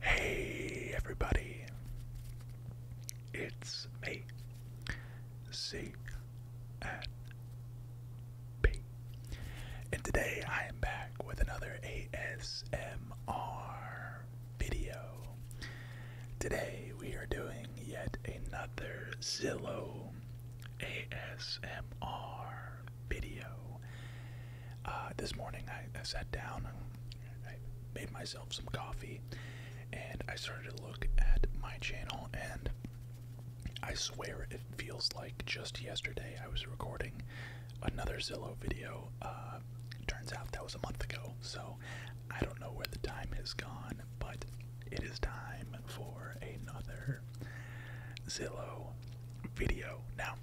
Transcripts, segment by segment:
Hey everybody, it's me, C and today I am back with another ASMR video. Today we are doing yet another Zillow ASMR video. Uh, this morning I, sat down, I, made myself some coffee, and I started to look at my channel. And I swear it feels like just yesterday I was recording another Zillow video. Uh, turns out that was a month ago, so I don't know where the time has gone, but it is time for another Zillow video. Now,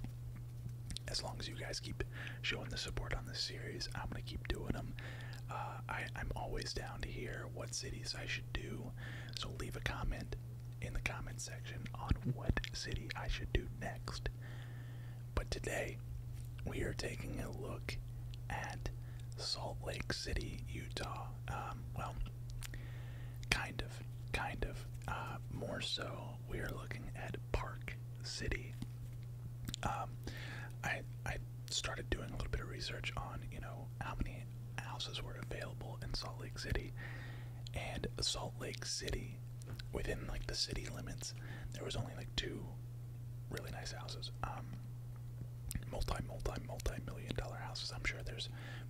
as long as you guys keep showing the support on this series, I'm gonna keep doing them. Uh, I, am always down to hear what cities I should do, so leave a comment in the comment section on what city I should do next. But today, we are taking a look at Salt Lake City, Utah. Um, well, kind of, kind of, uh, more so we are looking at Park City. Um, I I started doing a little bit of research on you know how many houses were available in Salt Lake City, and Salt Lake City, within like the city limits, there was only like two really nice houses. Um, multi multi multi million dollar houses. I'm sure there's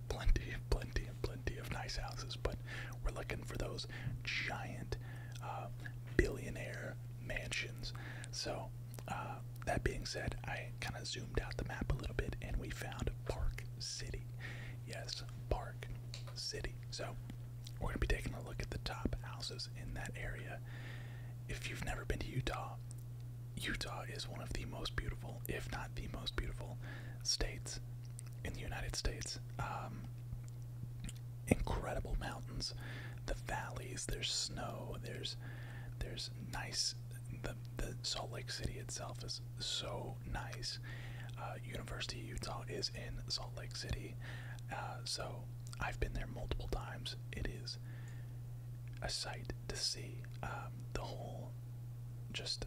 plenty plenty plenty of nice houses, but we're looking for those giant uh, billionaire mansions. So, uh, that being said, I kind of zoomed out the map a little bit and we found Park City. Yes, Park City. So, we're going to be taking a look at the top houses in that area. If you've never been to Utah, Utah is one of the most beautiful, if not the most beautiful, states in the United States. Um, incredible mountains, the valleys. There's snow. There's there's nice. The the Salt Lake City itself is so nice. Uh, University Utah is in Salt Lake City, uh, so I've been there multiple times. It is a sight to see. Um, the whole just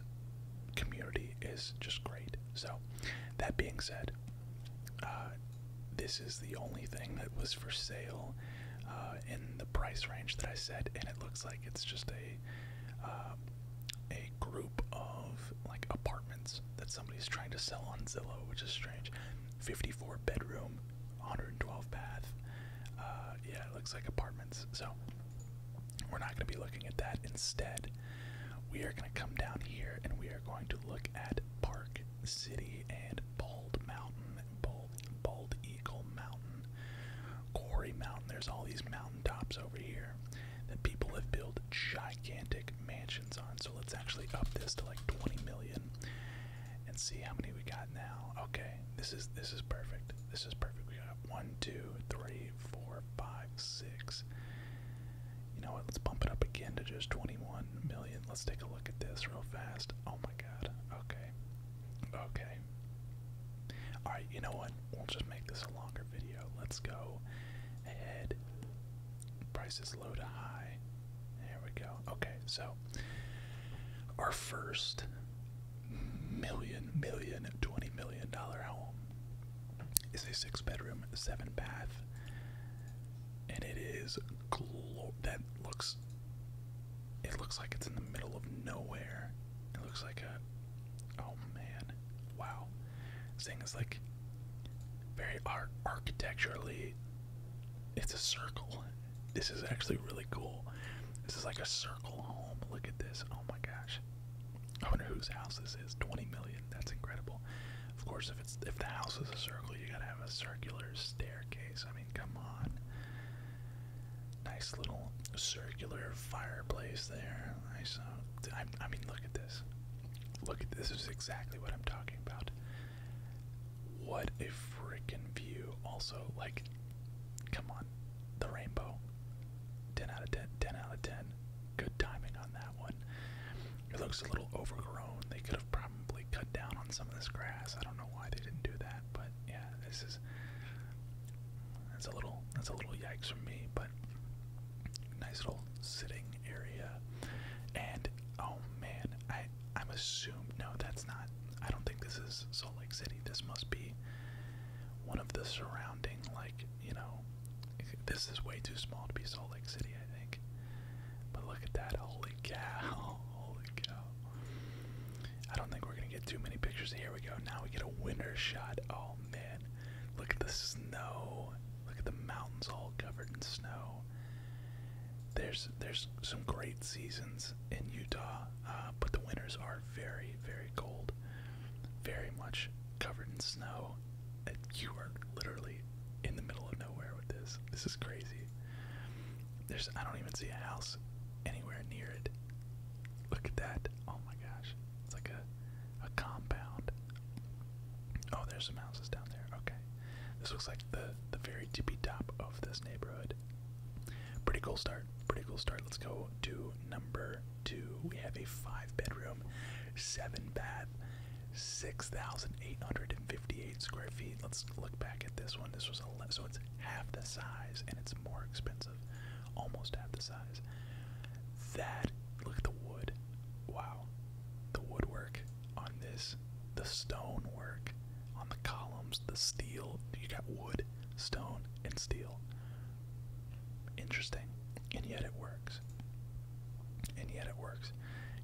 community is just great. So, that being said, uh, this is the only thing that was for sale uh, in the price range that I said, and it looks like it's just a uh, a group of like apartments that somebody's trying to sell on Zillow, which is strange. 54 bedroom, 112 bath. yeah, it looks like apartments. So. We're not going to be looking at that. Instead, we are going to come down here and we are going to look at Park City and Bald Mountain, Bald, Eagle Mountain, Quarry Mountain. There's all these mountain tops over here that people have built gigantic mansions on. So let's actually up this to like 20 million and see how many we got now. Okay, this is this is perfect. This is perfect. We got one, two, three, four four, five, six. You know what? Let's bump it up again to just 21 million. Let's take a look at this real fast. Oh my god. Okay. Okay. Alright, you know what? We'll just make this a longer video. Let's go ahead. Prices low to high. There we go. Okay, so our first million, million, twenty million dollar home It's a six bedroom, seven bath, and it is glo that looks. It looks like it's in the middle of nowhere. It looks like a. Oh man, wow! This thing is like very art architecturally. It's a circle. This is actually really cool. This is like a circle home. Look at this. Oh my gosh. I wonder whose house this is. Twenty million. That's incredible. Of course, if it's if the house is a circle, you gotta have a circular staircase. I mean, come on. Nice little circular fireplace there. Uh, I Uh, I mean, look at this. Look at this. Is exactly what I'm talking about. What a freaking view. Also, like, come on the rainbow. 10 out of 10, 10 out of 10. Good timing on that one. It looks a little overgrown. They could have probably cut down on some of this grass. I don't know why they didn't do that, but yeah, this is that's a little that's a little yikes from me, but nice little sitting area. And oh man, I I'm assumed no, that's not. I don't think this is Salt Lake City. This must be one of the surrounding, like, you know, this is way too small to be Salt Lake City, I think. But look at that, holy cow, holy cow. I don't think we're gonna get too many pictures. Here we go, now we get a winter shot. Oh man, look at the snow. Look at the mountains all covered in snow. There's there's some great seasons in Utah, uh, but the winters are very, very cold, very much covered in snow. You are literally in the middle of nowhere with this. This is crazy. There's I don't even see a house anywhere near it. Look at that. Oh my gosh. It's like a a compound. Oh, there's some houses down there. Okay. This looks like the the very tippy top of this neighborhood. Pretty cool start. Pretty cool start. Let's go to number two. We have a five bedroom, seven bath, 6,858 square feet. Let's look back at this one. This was a so it's half the size and it's more expensive, almost half the size. That look at the wood. Wow, the woodwork on this, the stonework on the columns, the steel. You got wood, stone, and steel. Interesting. And yet it works. And yet it works.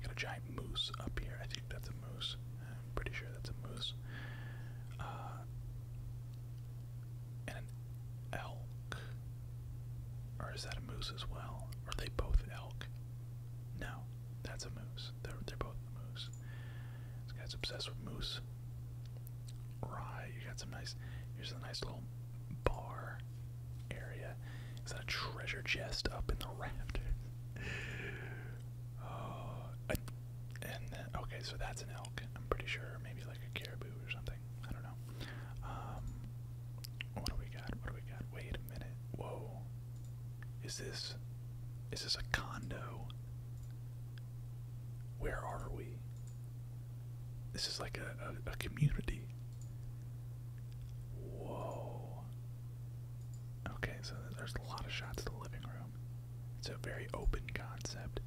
Got a giant moose up here. I think that's a moose. I'm pretty sure that's a moose. Uh, and an elk. Or is that a moose as well? Are they both elk? No, that's a moose. They're, they're both moose. This guy's obsessed with moose. Rye, you got some nice. Here's a nice little bar area. Is that a treasure chest up in the raft? oh, uh, and okay, so that's an elk. I'm pretty sure, maybe like a caribou or something. I don't know. Um, what do we got? What do we got? Wait a minute. Whoa, is this? Is this a condo? Where are we? This is like a, a, community. Whoa. Okay, so there's a lot of shots to the living room. It's a very open concept.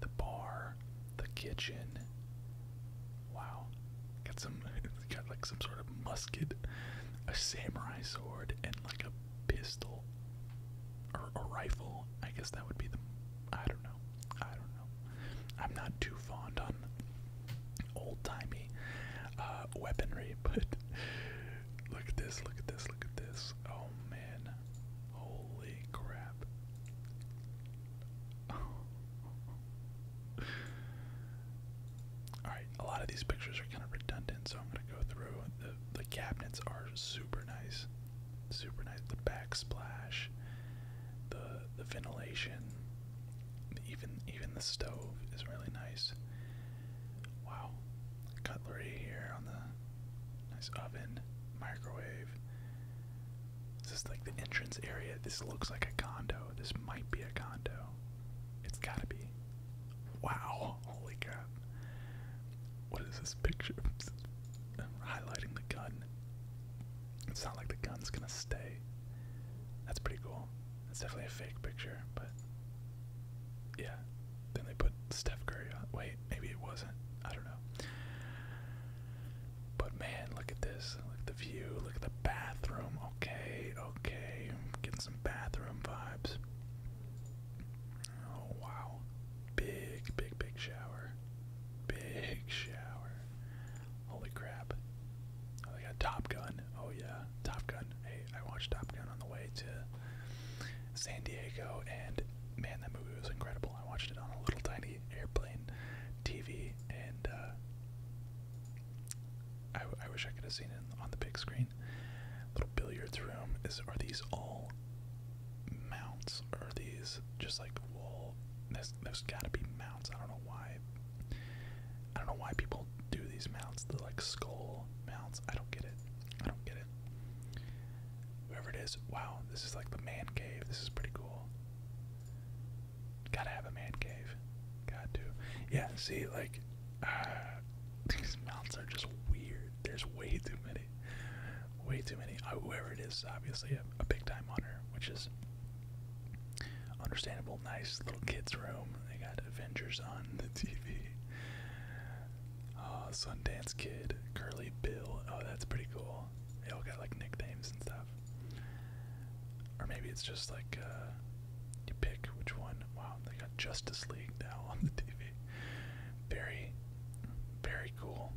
The bar, the kitchen. Wow. Got some got like some sort of musket, a samurai sword, and like a pistol or a rifle. I guess that would be the. I don't know. I don't know. I'm not too fond on old timey uh, weaponry, but look at this. Look at this. Look at this. Oh man! Holy crap! Alright, a lot of these pictures are kind of redundant, so I'm going to go through. The, the cabinets are super nice super nice. The backsplash, the the ventilation, even even the stove is really nice. Wow, cutlery here on the nice oven, microwave. This is like the entrance area. This looks like a condo. This might be a condo. It's gotta be. Wow. Oh, holy crap. What is this picture? highlighting the gun. It's not like the gun's gonna stay. That's pretty cool. That's definitely a fake picture, but yeah. Then they put Steph Curry on. Wait, maybe it wasn't. I don't know. But man, look at this. Look at the view. Look at the bathroom. Okay, okay. getting some bathroom vibes. Oh wow. Big, big, big shower. Big shower. Holy crap. I oh, got Top Gun. Oh yeah, Top Gun. Hey, I watched Top Gun on the way to San Diego and man, that movie was incredible. I watched it on a little tiny airplane TV and uh, I, I wish I could have seen it on the big screen. Little billiards room. Is are these all mounts or these just like wool. there's got to be mounts. I don't know why. I don't know why people do these mounts. The like skull mounts. I don't get it. I don't get it. Whoever it is, wow, this is like the man cave. This is pretty cool. Gotta have a man cave. Got to. Yeah. See, like uh, these mounts are just weird. There's way too many. Way too many. Uh, whoever it is, obviously a, big time hunter, which is understandable. Nice little kids' room. They got Avengers on the TV. Uh, Sundance Kid, Curly Bill. Oh, that's pretty cool. They all got like nicknames and stuff. Or maybe it's just like uh, you pick which one. Wow, they got Justice League now on the TV. Very, very cool.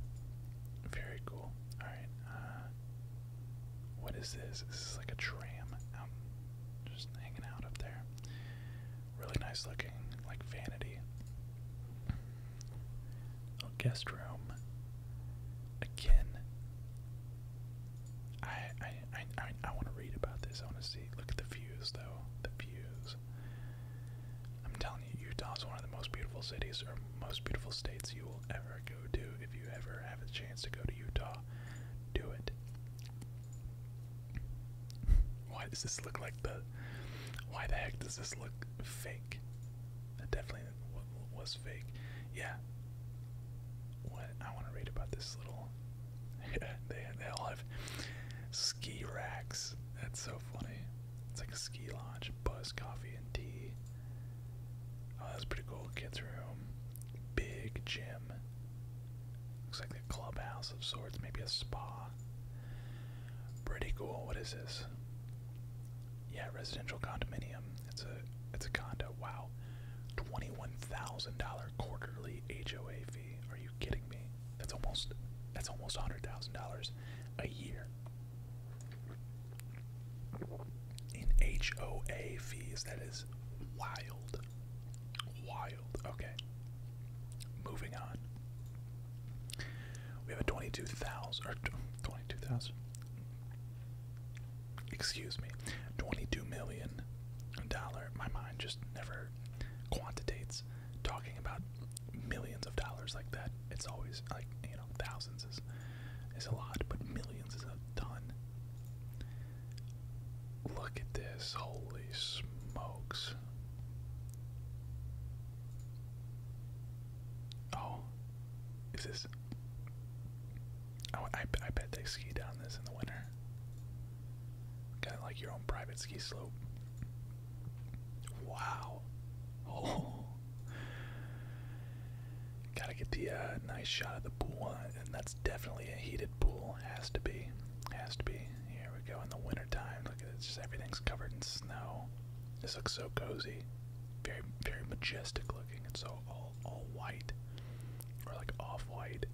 Very cool. All right. Uh, what is this? This is like a tram out, just hanging out up there. Really nice looking, like vanity. Oh, guest room. Again. I I I, I want to read about this. I want to see. Look at the views though. The views things. I'm telling you, Utah's one of the most beautiful cities or most beautiful states you will ever go to. If you ever have a chance to go to Utah, do it. Why does this look like the. Why the heck does this look fake? That definitely was fake. Yeah. What? I want to read about this little. they all have ski racks. That's so funny. It's like a ski lodge, buzz, coffee, and tea. Oh, that's pretty cool. Kids' room. Big gym. Looks like a clubhouse of sorts, maybe a spa. Pretty cool. What is this? Yeah, residential condominium. It's a it's a condo. Wow. $21,000 quarterly HOA fee. Are you kidding me? That's almost that's almost hundred thousand dollars a year in HOA fees. That is wild, wild. Okay, moving on. We have a twenty-two thousand or twenty-two thousand. Excuse me, twenty-two million dollar. My mind just never quantitates talking about millions of dollars like that, it's always like you know thousands is is a lot, but millions is a ton. Look at this! Holy smokes! Oh, is this? Oh, I, I bet they ski down this in the winter. Kind of like your own private ski slope. Wow. Oh. Gotta get the uh, nice shot of the pool, uh, and that's definitely a heated pool. Has to be. Has to be. Here we go in the wintertime. Look at it. It's just everything's covered in snow. This looks so cozy. Very, very majestic looking. It's so all, all white. Or like off white.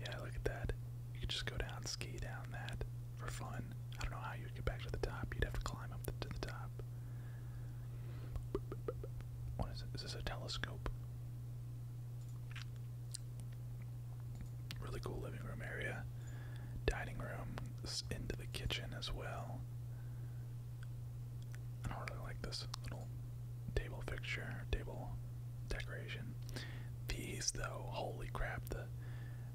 Yeah, look at that. You could just go down, ski down that for fun. I don't know how you would get back to the top. You'd have to climb up to the top. What is it? Is this a telescope? Really cool living room area. Dining room into the kitchen as well. I really like this little table fixture, table decoration. These though, holy crap, the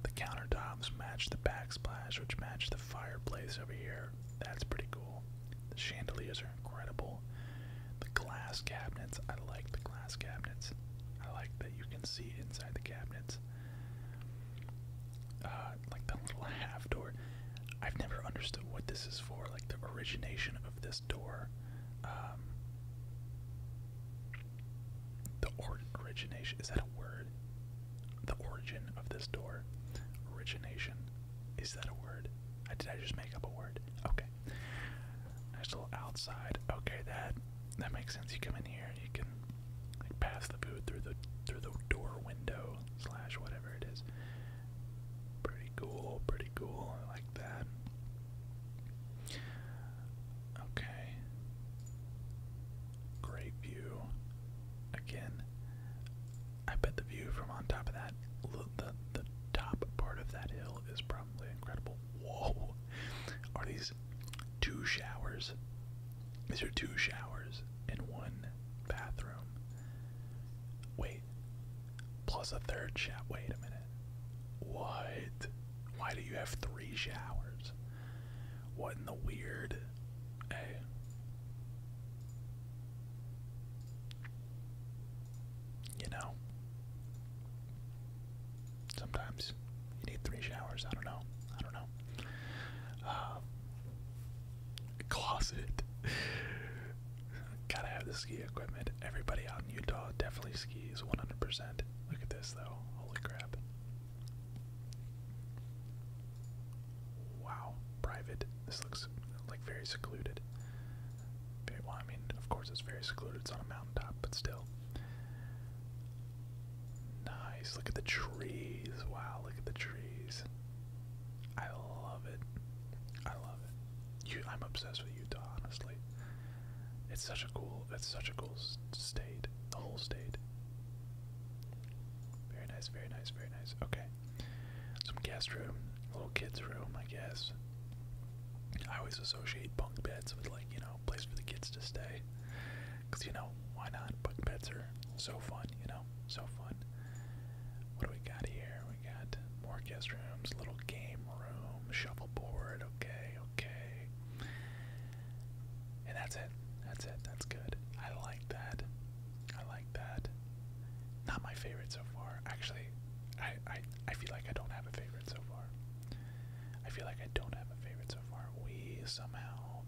the countertops match the backsplash, which match the fireplace over here. That's pretty cool. The chandeliers are incredible. The glass cabinets, I like the glass cabinets. I like that you can see inside the cabinets. Uh, like the little half door. I've never understood what this is for, like the origination of this door. Um, the origination is that a word? The origin of this door. Origination. Is that a word? I did I just make up a word? Okay. Nice little outside. Okay, that that makes sense. You come in here you can like pass the food through the through the door window slash whatever it is. Pretty cool, pretty cool. I like that. Okay. Great view. Again, I bet the view from on top of that, the, the top part of that hill is probably incredible. Whoa! Are these two showers? These are two showers and one bathroom. Wait. Plus a third shower. Wait a minute. What? Why do you have three showers? What in the weird? Hey. You know. Sometimes you need three showers. I don't know. I don't know. Um, closet. Gotta have the ski equipment everybody out in Utah definitely skis 100%. Look at this though. Holy crap. Wow, private. This looks like very secluded. well, I mean, of course it's very secluded. It's on a mountain top, but still. Nice. Look at the trees. Wow, look at the trees. I love it. I love it. I'm obsessed with Utah, honestly. It's such a cool, it's such a cool state, the whole state. Very nice, very nice, very nice. Okay, some guest room, little kids room, I guess. I always associate bunk beds with like you know, place for the kids to stay, cause you know why not? Bunk beds are so fun, you know, so fun. What do we got here? We got more guest rooms, little game room, shuffleboard. Okay okay. And that's it. That's it. That's good. I like that. I like that. Not my favorite so far. Actually, I, I, I feel like I don't have a favorite so far. I feel like I don't have a favorite so far. We somehow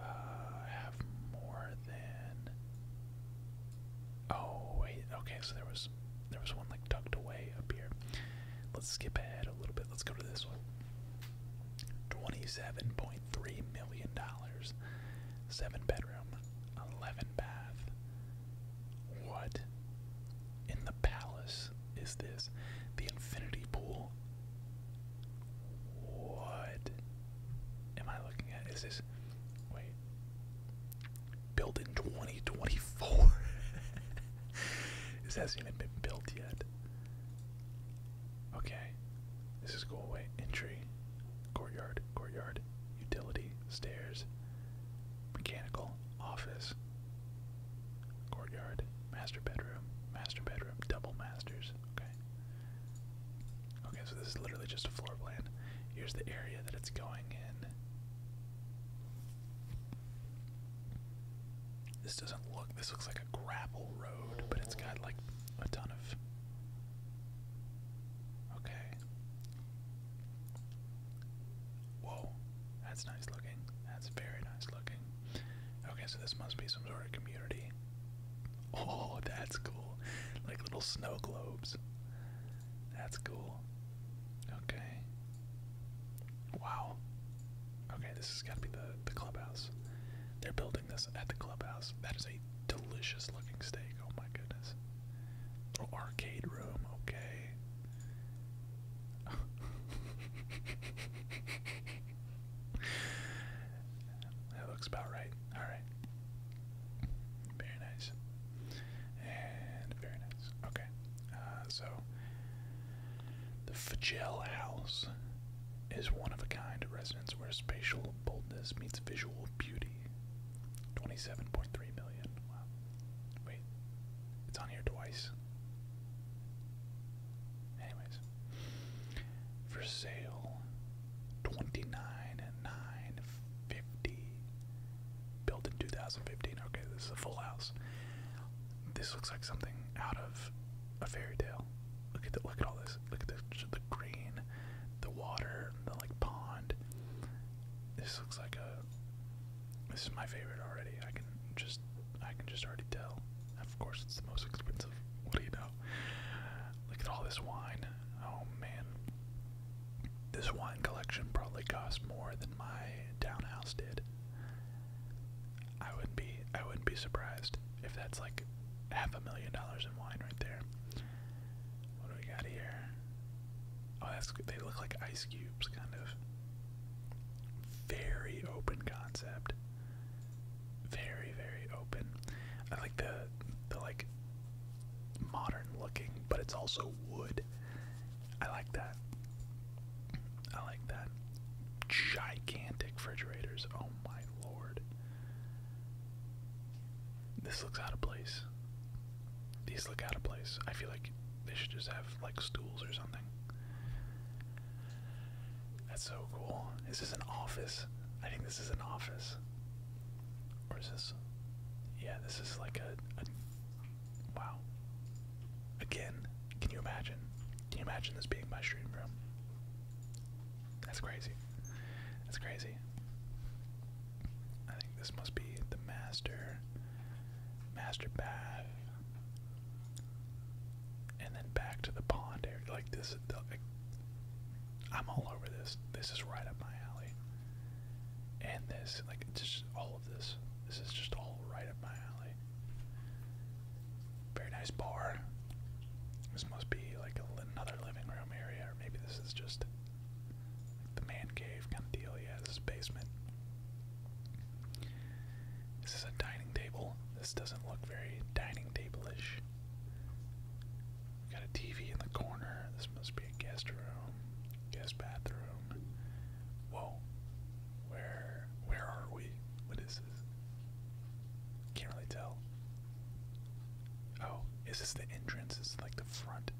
uh, have more than. Oh, wait. Okay, so there was there was one like tucked away up here. Let's skip ahead a little bit. Let's go to this one. Twenty-seven point three million dollars. Seven bedroom, eleven bath. What in the palace is this? The infinity pool. What am I looking at? Is this wait? Built in 2024. this hasn't even been built yet. Okay. This is go away. entry, courtyard, courtyard, utility, stairs, mechanical, office, courtyard, master bedroom, master bedroom, double masters. Okay. Okay, so this is literally just a floor plan. Here's the area that it's going in. This doesn't look. This looks like a gravel road, but it's got like a ton of. Okay. Whoa, that's nice looking. That's very nice looking. Okay, so this must be some sort of community. Oh, that's cool. Like little snow globes. That's cool. Okay. Wow. Okay, this has got to be the the clubhouse. They're building this at the clubhouse. That is a delicious looking steak. Oh my goodness. Little oh, arcade room. Okay. that looks about right. All right. Very nice very nice. Okay. Uh, so, the Fagel House is one of a kind residence where spatial boldness meets visual beauty. 27.3 million. Wow. Wait. It's on here twice. Anyways. For sale. Twenty nine and nine fifty. Built in 2015. Okay, this is a full house. This looks like something out of a fairy tale. Look at the, look at all this. Look at the the green, the water, the like pond. This looks like a. This is my favorite already. I can just I can just already tell. Of course, it's the most expensive. What do you know? Look at all this wine. Oh man, this wine collection probably cost more than my townhouse did. I wouldn't be I wouldn't be surprised if that's like half a million dollars in wine right there. What do we got here? Oh, that's they look like ice cubes, kind of. Very open concept. Very very open. I like the the like modern looking, but it's also wood. I like that. I like that. Gigantic refrigerators. Oh my lord. This looks out of place. These look out of place. I feel like they should just have like stools or something. That's so cool. Is this an office? I think this is an office. Or is this? Yeah, this is like a Wow. Again, can you imagine? Can you imagine this being my stream room? That's crazy. That's crazy. I think this must be the master, master bath, and then back to the pond area. Like this, the, like, I'm all over this. This is right up my alley and this, like just all of this. This is just all right up my alley. Very nice bar. This must be like another living room area, or maybe this is just the man cave kind of deal. Yeah, this is basement. This is a dining table. This doesn't look very dining table-ish. We got a TV in the corner. This must be a guest room, guest bathroom. Whoa, where where are we? What is this? Can't really tell. Oh, is this the entrance? Is like the front?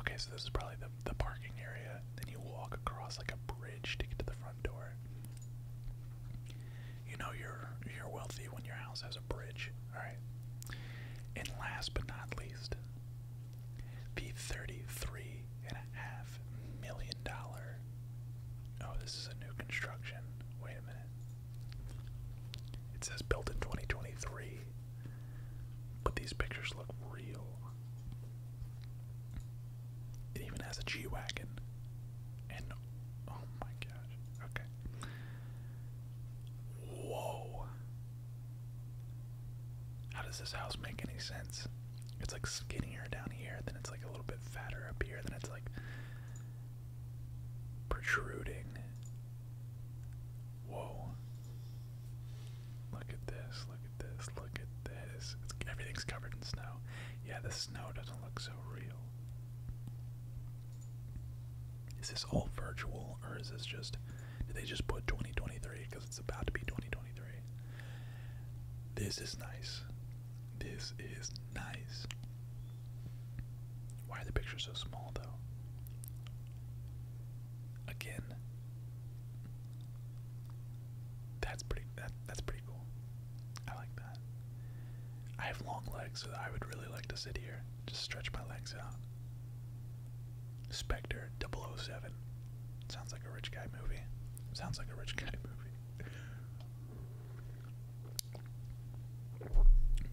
Okay, so this is probably the the parking area. Then you walk across like a bridge to get to the front door. You know you're you're wealthy when your house has a bridge, all right? And last but not least, the thirty-three and a half million dollar. Oh, this is a new construction. Wait a minute. It says built in 2023, but these pictures look real. It even has a G wagon, and oh my gosh. Okay. Whoa. How does this house make any sense? It's like skinnier down here, then it's like a little bit fatter up here, then it's like protruding. Whoa. Look at this, look at this, look at this. everything's covered in snow. Yeah, the snow doesn't look so real. Is this all virtual or is this just did they just put 2023 because it's about to be 2023? This is nice. This is nice. Why are the pictures so small though? Again. That's pretty that that's pretty cool. I like that. I have long legs, so I would really like to sit here. Just stretch my legs out. Spectre 007. Sounds like a rich guy movie. Sounds like a rich guy movie.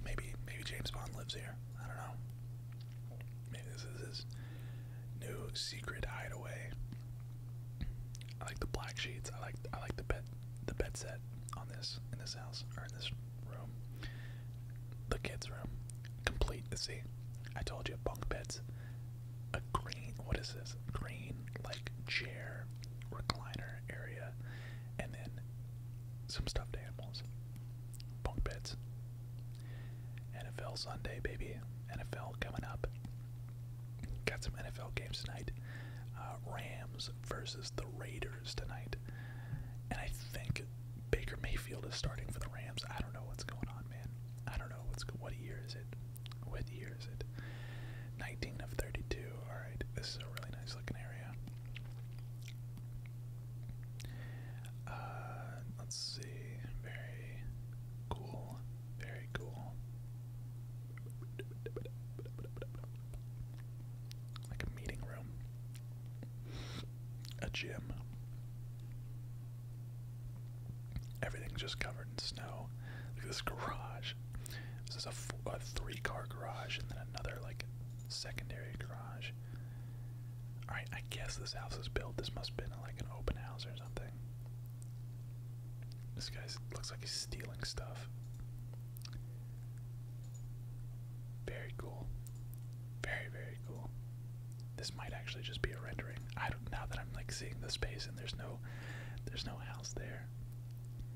maybe maybe James Bond lives here. I don't know. Maybe this is his new secret hideaway. I like the black sheets. I like I like the bed the bed set on this in this house or in this room, the kids' room, complete. See, I told you, bunk beds, a green. What is this? Green like chair recliner area, and then some stuffed animals, bunk beds. NFL Sunday, baby. NFL coming up. Got some NFL games tonight. Uh, Rams versus the Raiders. Raiders tonight. And I think Baker Mayfield is starting for the Rams. I don't know what's going on, man. I don't know what's what year is it? What year is it? 19 of 32. All right, this is a really nice looking area. Uh, let's see. Very cool. Very cool. Like a meeting room a gym. Everything's just covered in snow. Look at this garage. This is a a three car garage and then another, like, secondary garage. Alright, I guess this house was built. This must have been, like, an open house or something. This guy looks like he's stealing stuff. Very cool. Very, very cool. This might actually just be a rendering. I don't now that I'm like seeing the space and there's no there's no house there.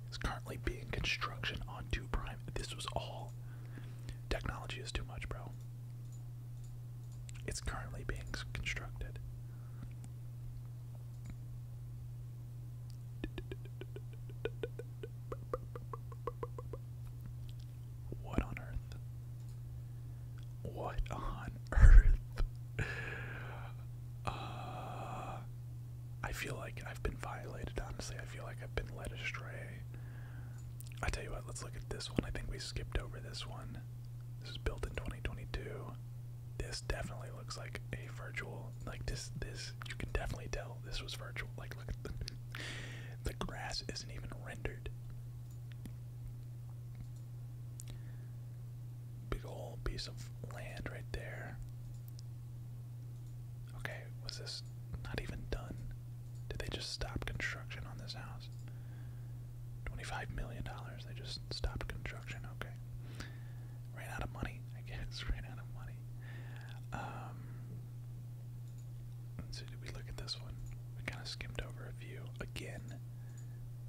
It's currently being construction on 2 prime. This was all technology is too much, bro. It's currently being constructed. What on earth? What on earth? Uh, I feel like I've been violated, honestly. I feel like I've been led astray. I tell you what, let's look at this one. I think we skipped over this one. This is built in 2022. This definitely looks like a virtual, like this, this you can definitely tell this was virtual. Like look at the the grass isn't even rendered. Big old piece of land right there. Okay, was this not even done? Did they just stop construction on this house? $25 million, they just stopped construction, okay. Ran out of money, I guess, ran out of money. Um, did we look at this one? We kind of skimmed over a few. Again,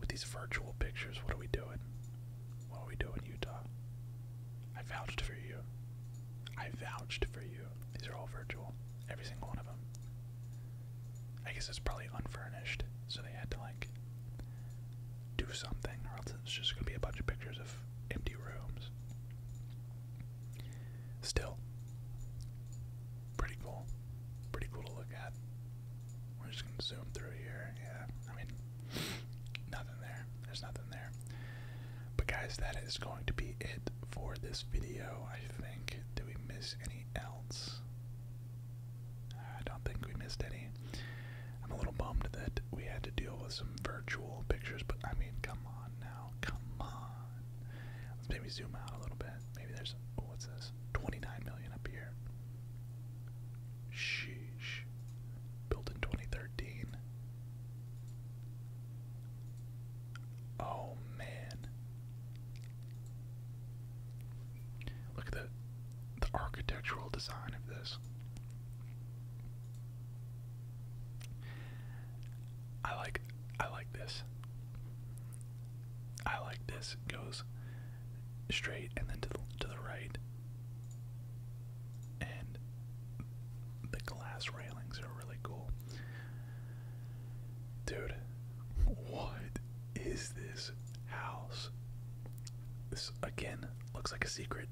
with these virtual pictures, what are we doing? What are we doing, Utah? I vouched for you. I vouched for you. These are all virtual. Every single one of them. I guess it's probably unfurnished, so they had to, like, do something, or else it's just gonna be a bunch of pictures of empty rooms. Still, pretty cool. Pretty cool to look at. We're just gonna zoom through here. Yeah, I mean, nothing there. There's nothing there. But guys, that is going to be it for this video. I think. Did we miss any else? I don't think we missed any. I'm a little bummed that we had to deal with some virtual pictures, but I mean, come on now. Come on. Let's maybe zoom out a little bit. Maybe there's oh, what's this? 29 million up here. Sheesh. Built in 2013. Oh man. Look at the the architectural design of this. I like I like this. I like this. goes straight and then to the, to the right. And the glass railings are really cool. Dude, what is this house? This again looks like a secret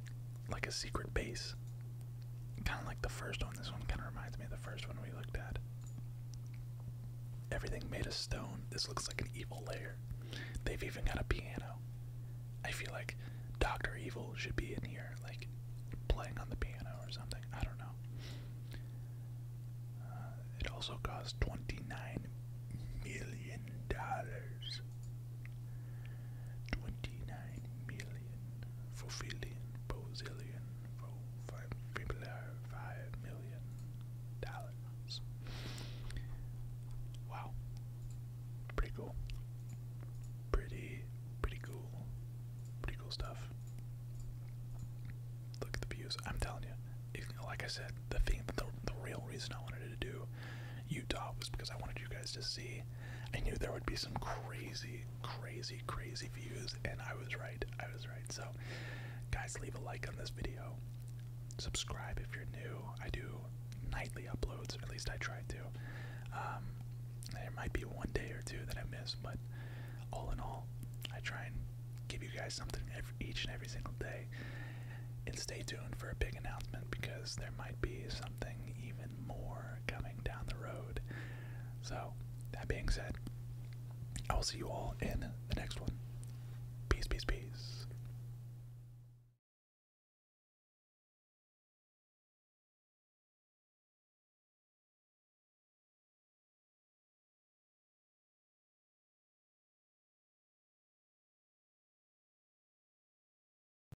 like a secret base. Kind of like the first one. This one kind of reminds me of the first one we looked at. Everything made of stone. This looks like an evil lair. They've even got a piano. I feel like Dr. Evil should be in here, like playing on the piano or something. I don't know. Uh, it also costs $29 million Twenty-nine million for billion, dollars. Wow, pretty cool. Pretty, pretty cool. Pretty cool stuff. Look at the views. I'm telling you, like I said, the thing, the, the real reason I wanted to do Utah was because I wanted you guys to see. I knew there would be some crazy, crazy, crazy views, and I was right. I was right. So, guys, leave a like on this video. Subscribe if you're new. I do nightly uploads, or at least I try to. Um, there might be one day or two that I miss, but all in all, I try and give you guys something each and every single day. And stay tuned for a big announcement because there might be something even more coming down the road. So, that being said, I will see you all in the next one. Peace, peace, peace.